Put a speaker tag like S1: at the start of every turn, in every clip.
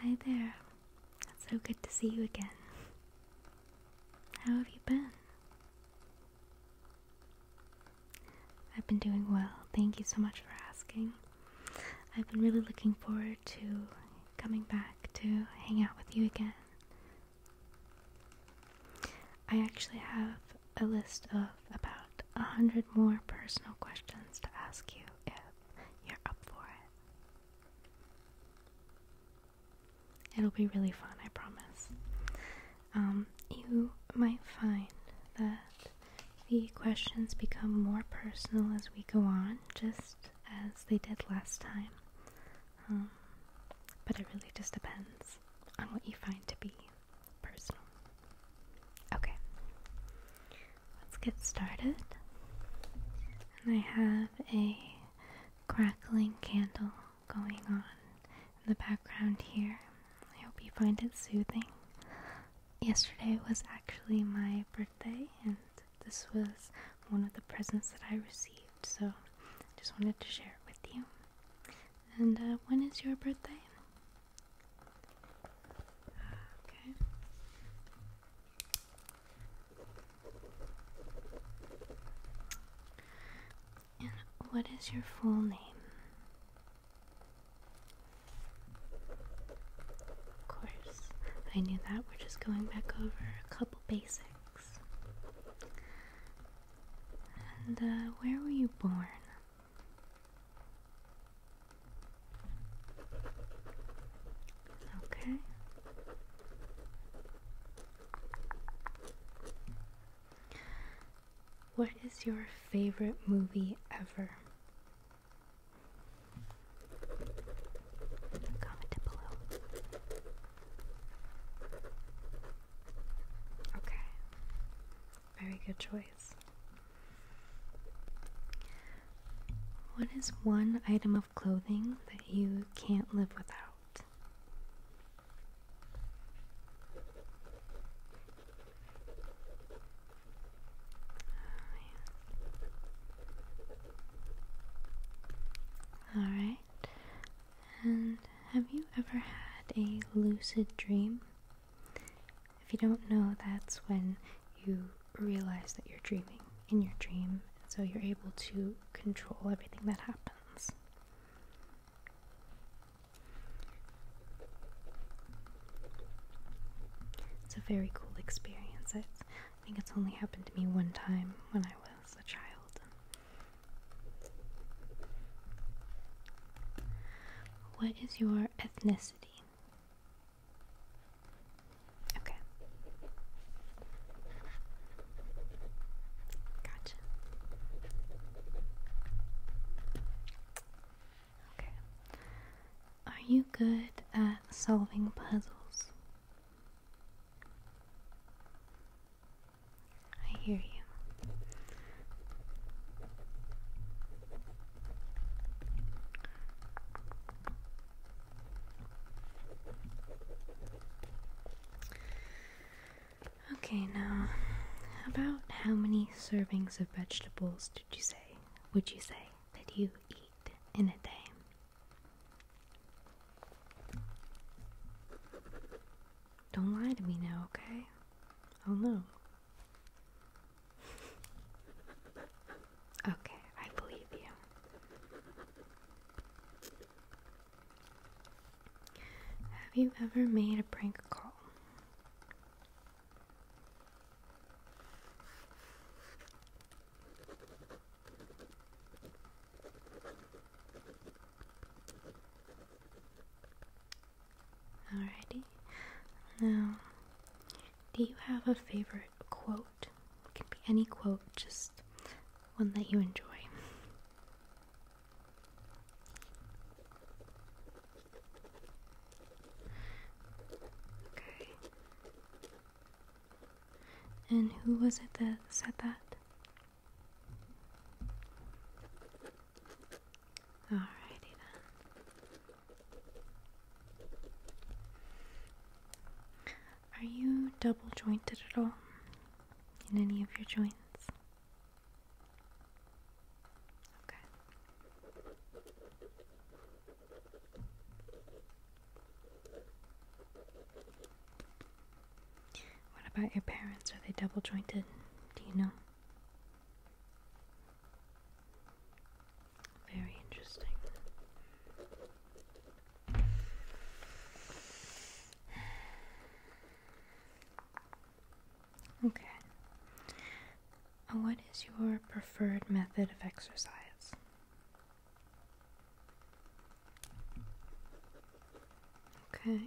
S1: Hi there. It's so good to see you again. How have you been? I've been doing well. Thank you so much for asking. I've been really looking forward to coming back to hang out with you again. I actually have a list of about a hundred more personal questions to ask you if you're up for it. It'll be really fun, I promise. Um, you might find that the questions become more personal as we go on, just as they did last time. Um, but it really just depends on what you find to be personal. Okay let's get started. And I have a crackling candle going on in the background here. I hope you find it soothing. Yesterday was actually my birthday, and this was one of the presents that I received, so I just wanted to share it with you. And uh, when is your birthday? Okay. And what is your full name? Of course, I knew that. We're just going back over a couple basics. And uh, where were you born? Okay. What is your favorite movie ever? Comment below. Okay. Very good choice. What is one item of clothing that you can't live without? Oh, Alright. And have you ever had a lucid dream? If you don't know, that's when you realize that you're dreaming in your dream, so you're able to control everything that happens. It's a very cool experience. I think it's only happened to me one time when I was a child. What is your ethnicity? Okay. Gotcha. Okay. Are you good at solving puzzles? I hear you. Okay, now, about how many servings of vegetables did you say, would you say, that you eat in a day? Don't lie to me now, okay? I'll oh, know. Okay, I believe you. Have you ever made a prank call? Alrighty. Now, do you have a favorite quote. It can be any quote, just one that you enjoy. Okay. And who was it that said that? Alrighty then. Are you double jointed at all? In any of your joints? Okay. What about your parents? Are they double jointed? Do you know? Very interesting. Okay. What is your preferred method of exercise? Okay.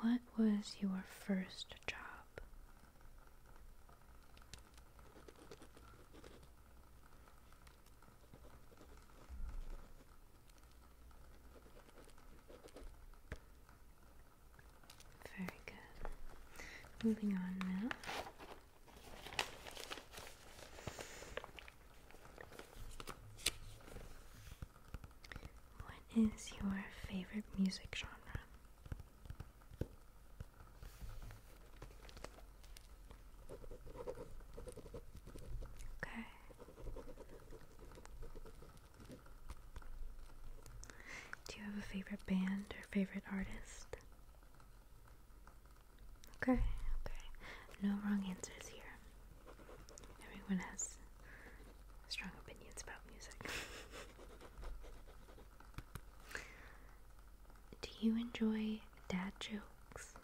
S1: What was your first job? Very good. Moving on now. What is your favorite music genre? Okay. Do you have a favorite band or favorite artist? Okay, okay. No wrong answers here. Everyone has strong opinions about music. Do you enjoy dad jokes?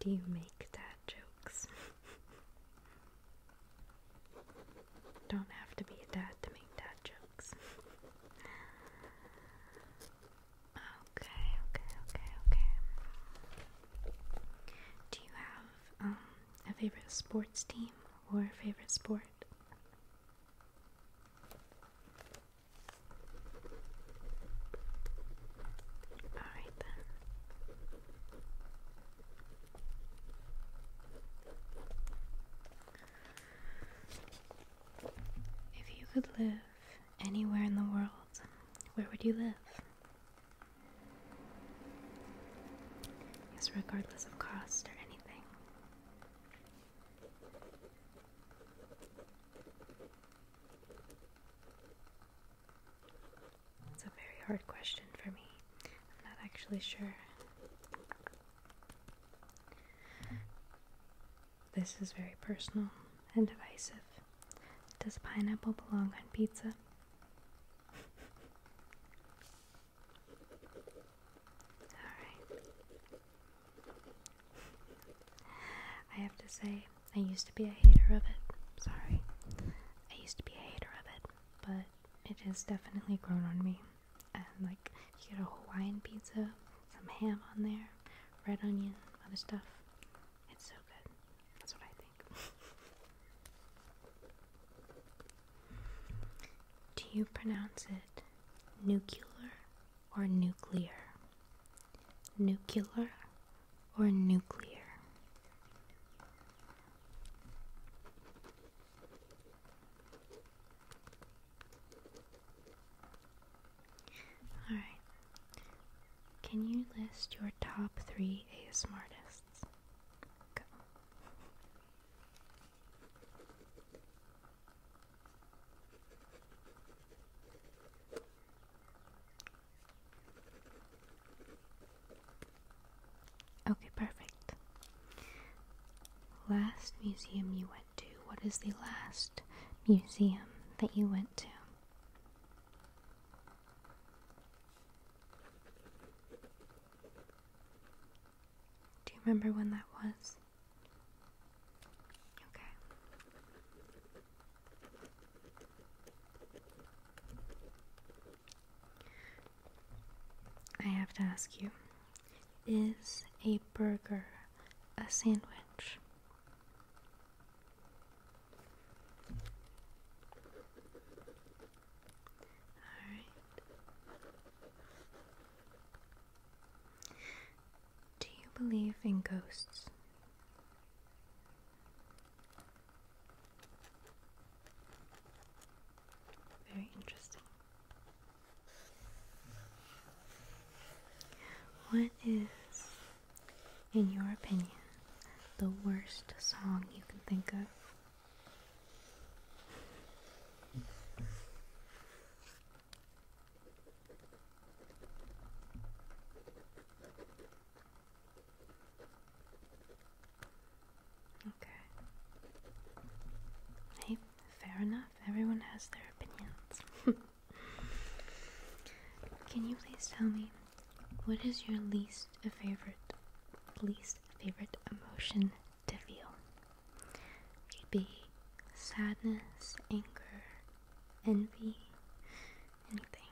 S1: Do you make dad jokes? Don't have to be a dad to make dad jokes. Okay, okay, okay, okay. Do you have um, a favorite sports team or favorite sport? Alright then. If you could live anywhere in the world, where would you live? Yes, regardless of cost or anything. It's a very hard question for me. I'm not actually sure. This is very personal and divisive. Does pineapple belong on pizza? Alright. I have to say, I used to be a hater of it. Sorry. I used to be a hater of it, but it has definitely grown on me. And like, you get a Hawaiian pizza, some ham on there, red onion, other stuff. It's so good. That's what I think. Do you pronounce it nuclear or nuclear? Nuclear or nuclear? Alright. Can you list your top three ASMR artists? Okay, perfect. Last museum you went to. What is the last museum that you went to? Do you remember when that was? Okay. I have to ask you is a burger a sandwich? Alright. Do you believe in ghosts? Very interesting. What is in your opinion, the worst song you can think of? Okay. Hey, fair enough. Everyone has their opinions. Can you please tell me what is your least favorite, least favorite emotion to feel? Could be sadness, anger, envy, anything. Okay.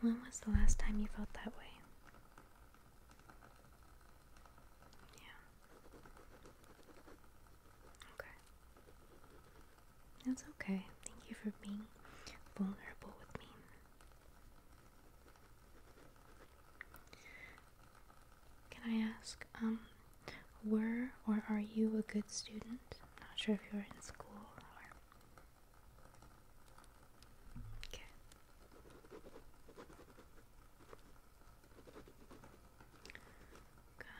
S1: When was the last time you felt that way? Yeah. Okay. That's okay. Thank you for being vulnerable with me. Can I ask, um, were or are you a good student? I'm not sure if you're in school Okay.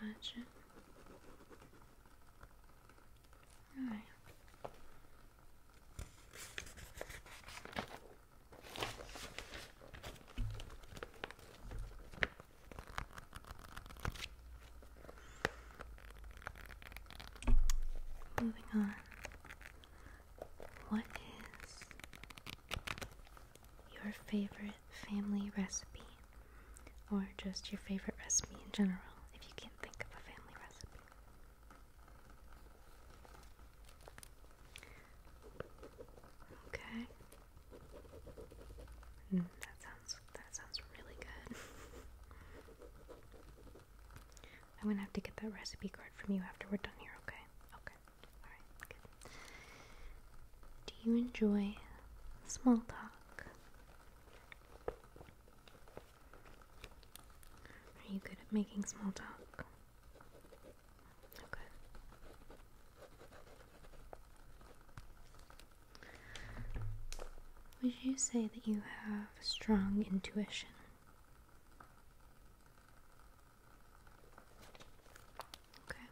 S1: Gotcha. Alright. Moving on. What is your favorite family recipe? Or just your favorite recipe in general, if you can't think of a family recipe? Okay. Mm, that sounds that sounds really good. I'm gonna have to get that recipe card from you after we're done here, okay? Okay. Alright, good. Do you enjoy small talk? Are you good at making small talk? Okay. Would you say that you have strong intuition? Okay. Okay.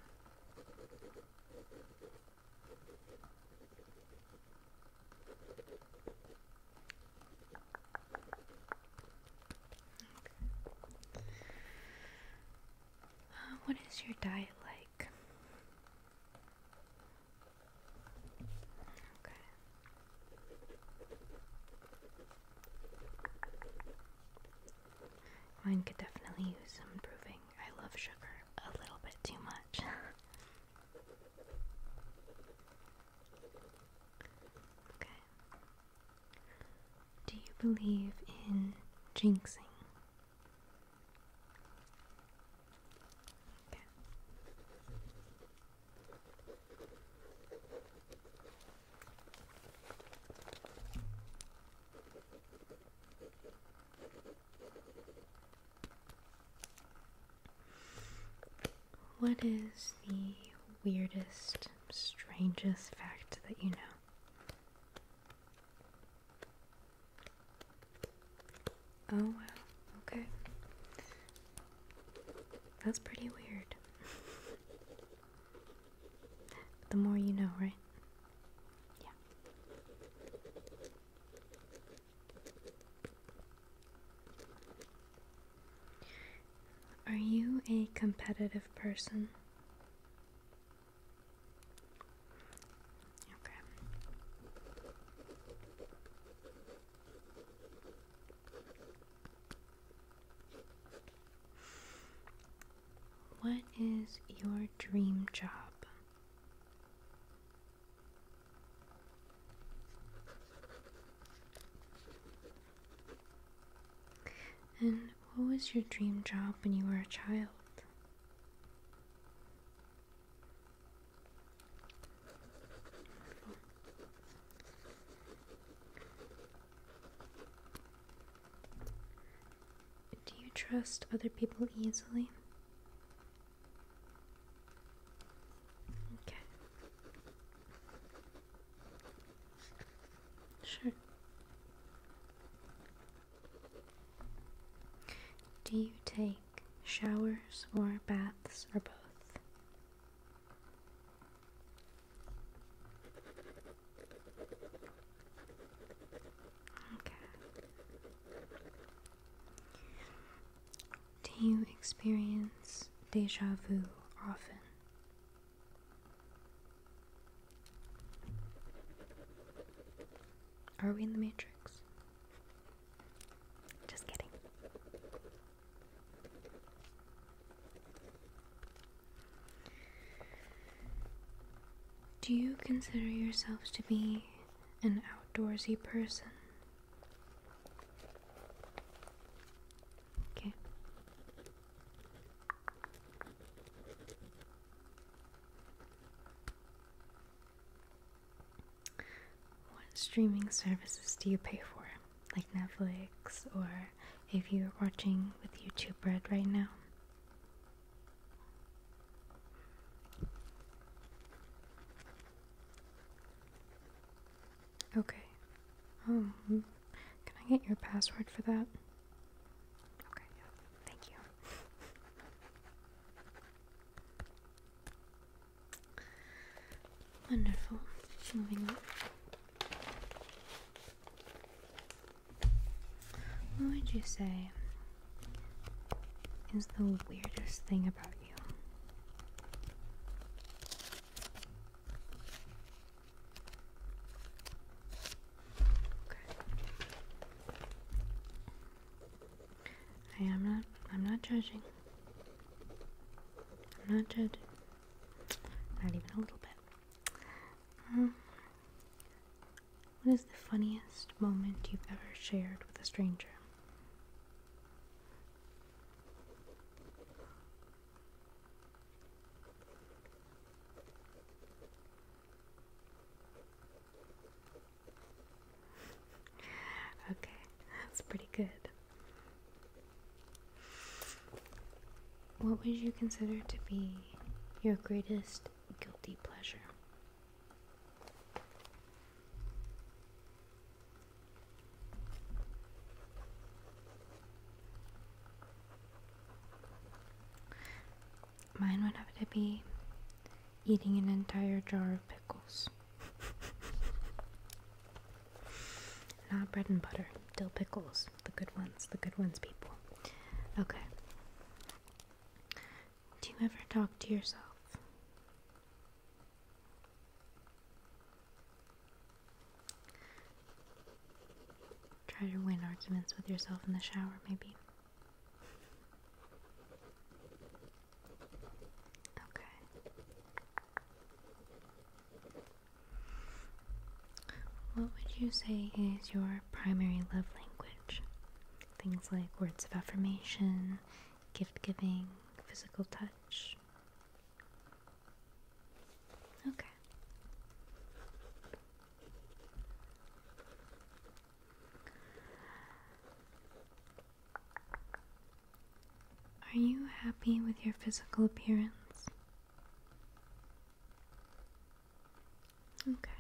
S1: Uh, what is your diet like? Okay. Mine could definitely use some improving. I love sugar a little bit too much. okay. Do you believe in jinxing? What is the weirdest, strangest fact that you know? Oh wow, okay. That's pretty weird. the more you know, right? Yeah. Are you a competitive person? Okay. What is your dream job? And what was your dream job when you were a child? Do you trust other people easily? Okay. Sure. Do you take showers or baths or both? Okay. Do you experience deja vu often? Are we in the Matrix? Just kidding. Do you consider yourselves to be an outdoorsy person? Okay. What streaming services do you pay for? Like Netflix, or if you're watching with YouTube Red right now? Okay. oh, can I get your password for that? Okay, thank you. Wonderful. Moving What would you say is the weirdest thing about you? I am not I'm not judging. I'm not judging. Not even a little bit. Um, what is the funniest moment you've ever shared with a stranger? okay, that's pretty good. What would you consider to be your greatest guilty pleasure? Mine would have to be eating an entire jar of pickles. Not bread and butter, dill pickles. The good ones, the good ones, people. Okay. Do you ever talk to yourself? Try to win arguments with yourself in the shower, maybe. Okay. What would you say is your primary love language? Things like words of affirmation, gift giving, physical touch. Okay. Are you happy with your physical appearance? Okay.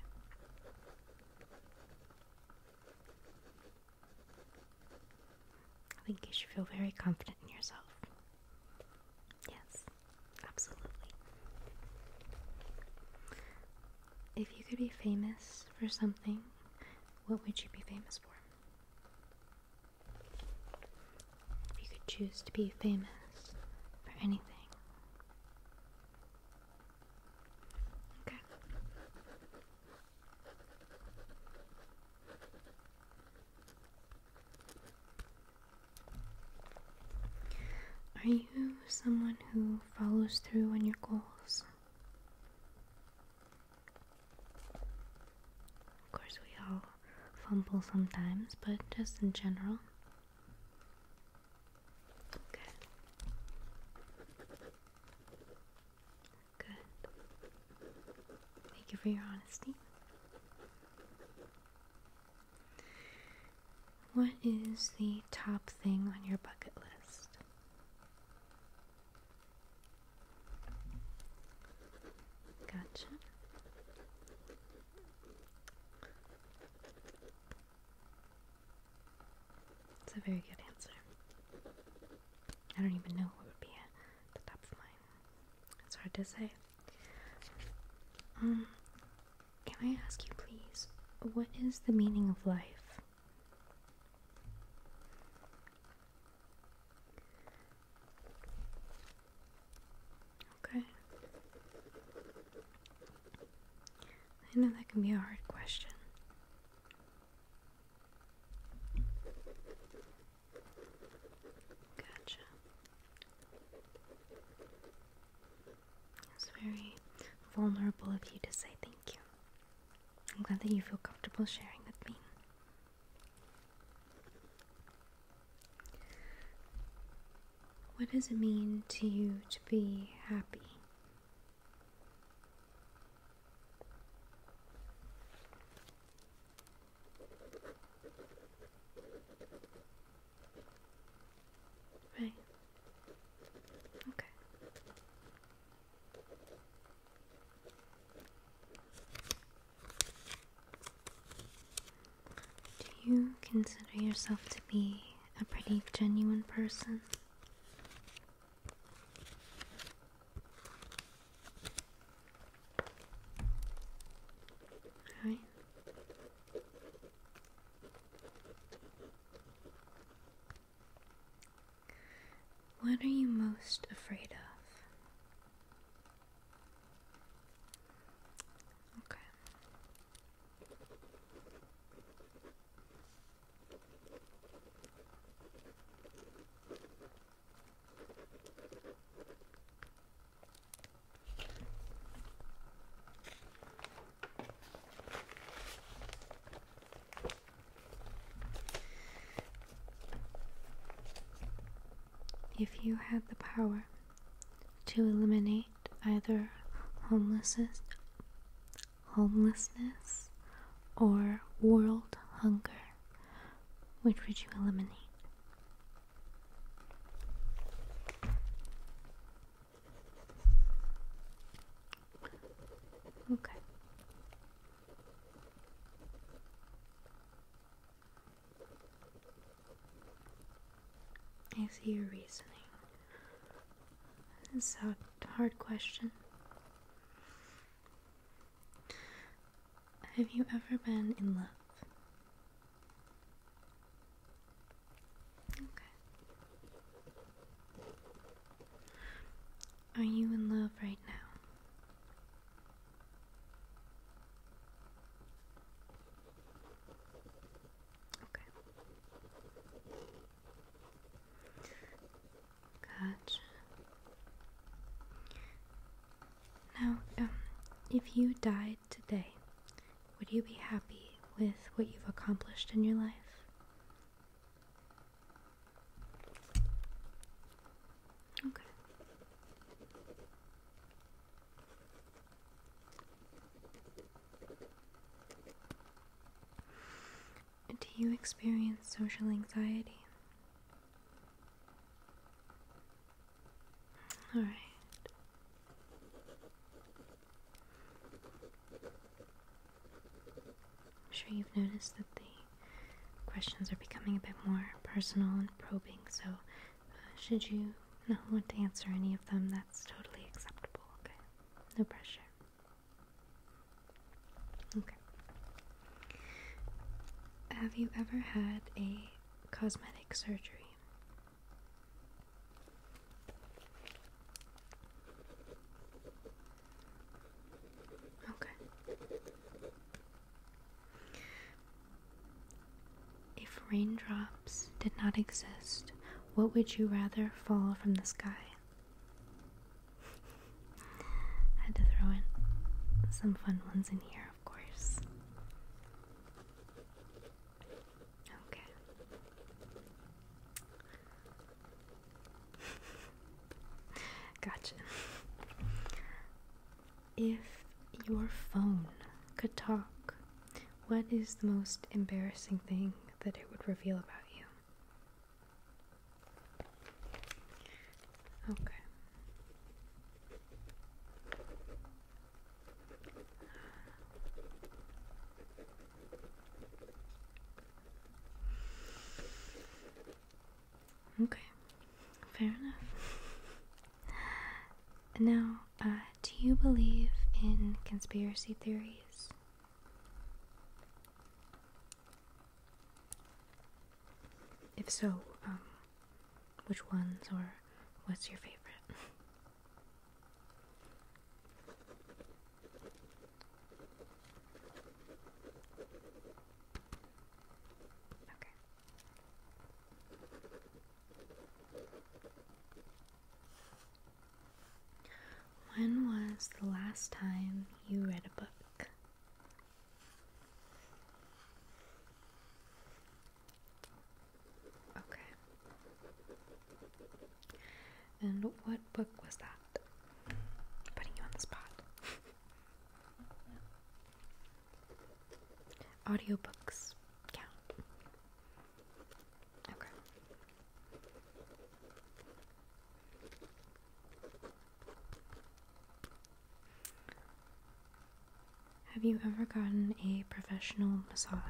S1: I think you should feel very confident in yourself. Yes, absolutely. If you could be famous for something, what would you be famous for? If you could choose to be famous for anything. Okay. Are you someone who follows through on your goals? Of course, we all fumble sometimes, but just in general. Okay. Good. Thank you for your honesty. What is the top thing on your bucket list? Gotcha. It's a very good answer. I don't even know what would be at the top of mine. It's hard to say. Um, can I ask you, please, what is the meaning of life? Okay. I know that can be a hard question. Gotcha. It's very vulnerable of you to say thank you. I'm glad that you feel comfortable sharing with me. What does it mean to you to be happy? Right. Okay. Do you consider yourself to be a pretty genuine person? Alright. What are you most afraid of? Okay. If you had the power to eliminate either homelessness, or world hunger, which would you eliminate? Okay. I see your reasoning. It's a hard question. Have you ever been in love? Okay. Are you in love right now? Okay. Gotcha. Now, um, if you died today, would you be happy with what you've accomplished in your life? Do you experience social anxiety? All right. I'm sure you've noticed that the questions are becoming a bit more personal and probing, so uh, should you not want to answer any of them, that's totally acceptable, okay? No pressure. Okay. Have you ever had a cosmetic surgery? Okay. If raindrops did not exist, what would you rather fall from the sky? had to throw in some fun ones in here, of course. Okay gotcha. If your phone could talk, what is the most embarrassing thing that it would reveal about you? Okay. Okay, fair enough. Now, uh, do you believe in conspiracy theories? If so, um, which ones or what's your favorite? When was the last time you read a book? Okay. And what book was that? Putting you on the spot. Audiobooks count. Okay. Have you ever gotten a professional massage?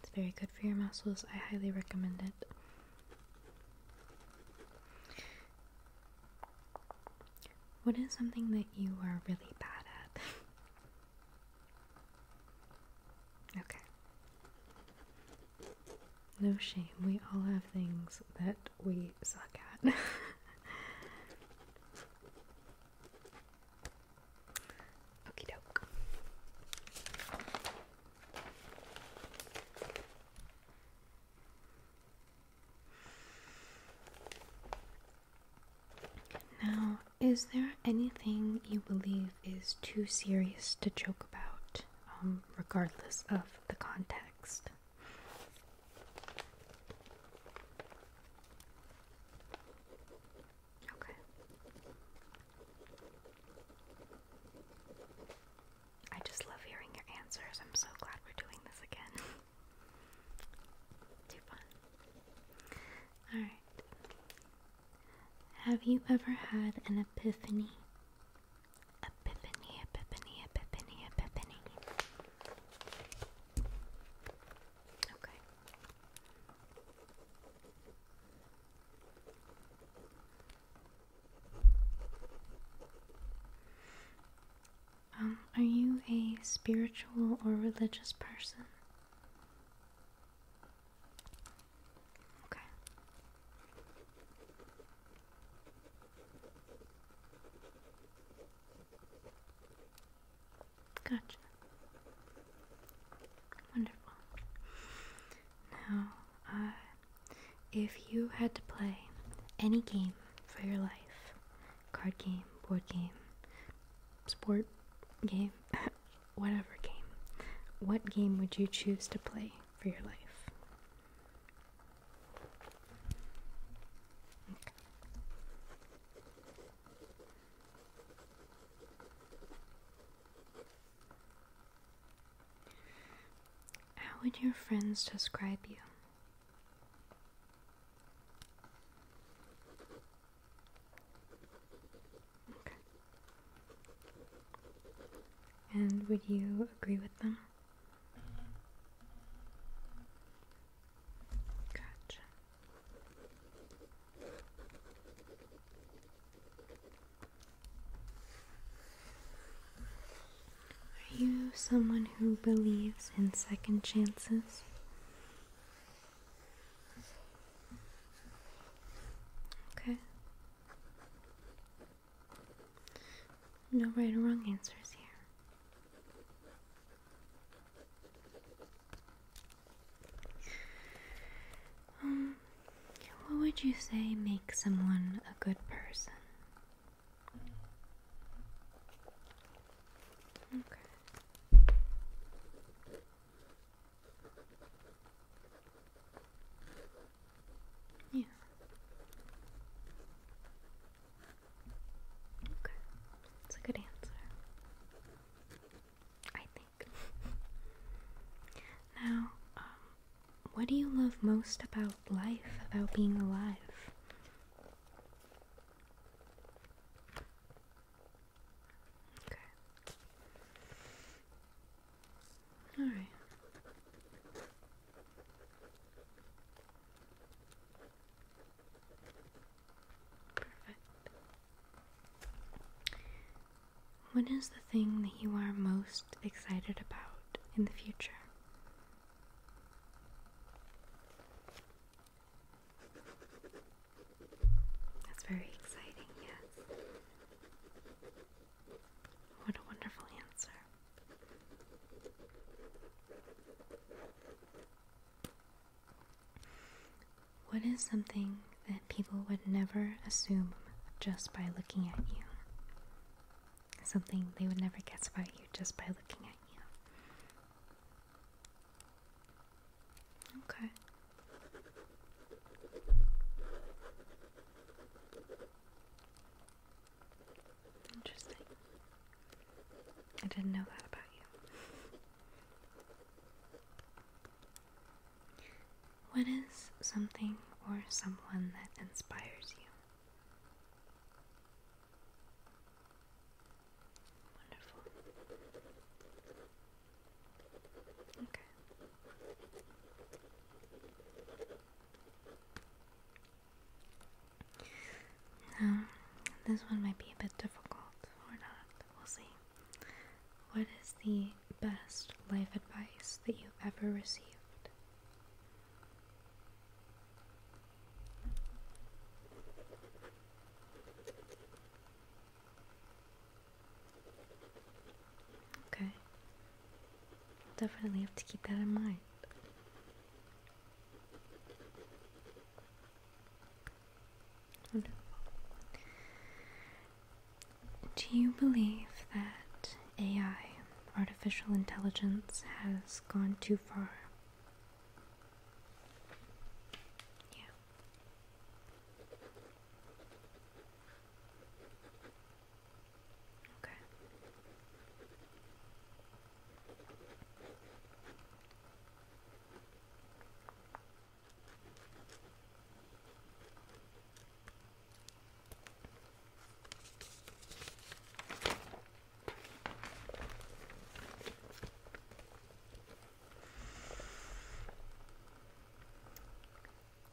S1: It's very good for your muscles. I highly recommend it. What is something that you are really bad at? okay. No shame. We all have things that we suck at. Okie doke. Now, is there anything you believe is too serious to joke about, um, regardless of the context? Okay. I just love hearing your answers. I'm so glad we're doing this again. Too fun. Alright. Have you ever had an epiphany? Epiphany, epiphany, epiphany, epiphany. Okay. Um, are you a spiritual or religious person? Okay. Gotcha. Wonderful. Now, uh, if you had to play any game for your life card game, board game, sport game, whatever game what game would you choose to play for your life? How would your friends describe you? Okay. And would you agree with them? Mm-hmm. Are you someone who believes in second chances? Okay. No right or wrong answers here. Um, what would you say makes someone a good person? Okay. Yeah. Okay. That's a good answer. I think. now, um, what do you love most about life, about being alive? Okay. Alright. What is the thing that you are most excited about in the future? That's very exciting, yes. What a wonderful answer. What is something that people would never assume just by looking at you? Something they would never guess about you just by looking at you. Okay. Interesting. I didn't know that about you. What is something or someone that inspires you? Wonderful. Okay. Now, this one might be a bit difficult or not. We'll see. What is the best life advice that you've ever received? Okay. Definitely have to keep that in mind. Do you believe that AI, artificial intelligence, has gone too far? Yeah. Okay.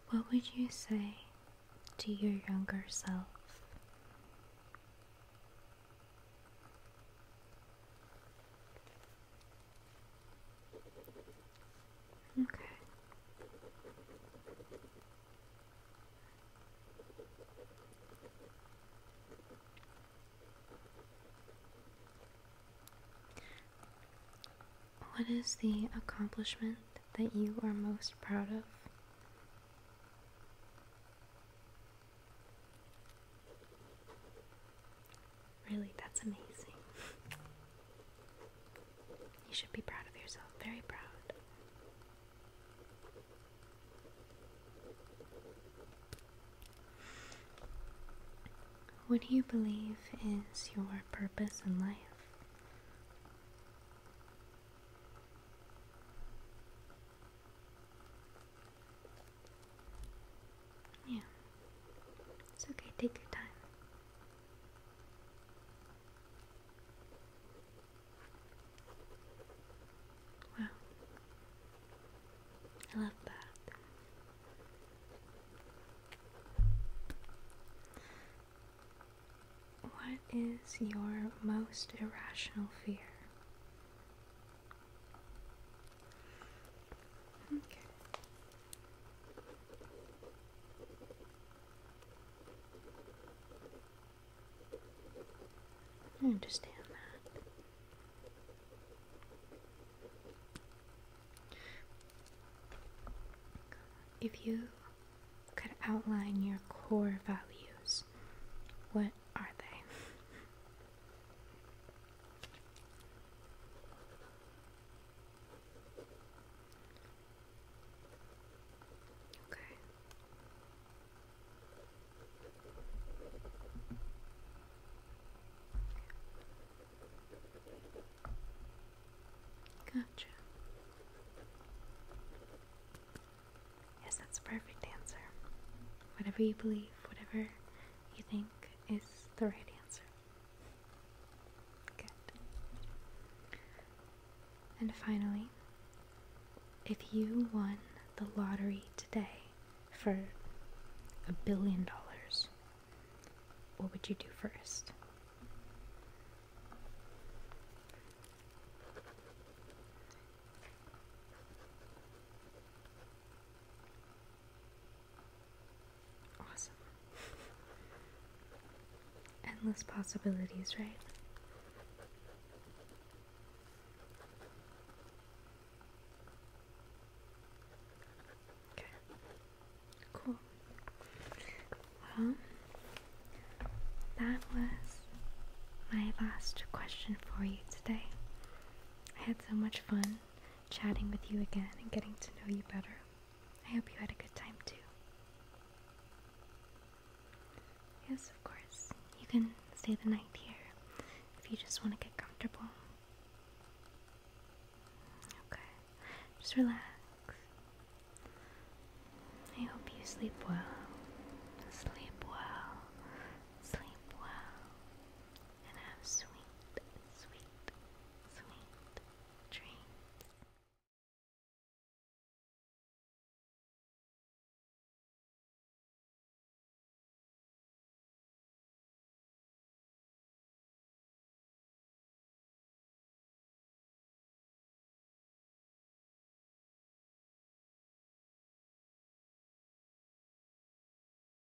S1: What would you say to your younger self? Okay. What is the accomplishment that you are most proud of? Really, that's amazing. You should be proud of yourself, very proud. What do you believe is your purpose in life? Yeah. It's okay, take your time. Wow. I love that. What is your most irrational fear? Okay. I understand that. If you could outline your core values, what are they? Okay. Gotcha. Yes, that's a perfect answer. Whatever you believe, whatever you think, is the right answer. Good. And finally, if you won the lottery today for a billion dollars, what would you do first? Awesome. Endless possibilities, right? Okay. Cool. Well, that was my last question for you today. I had so much fun chatting with you again and getting to know you better. I hope you had a good time too. Yes, of course. You can stay the night here if you just want to get comfortable. Okay. Just relax. I hope you sleep well. Sleep well. Sleep well and have sweet, sweet, sweet dreams.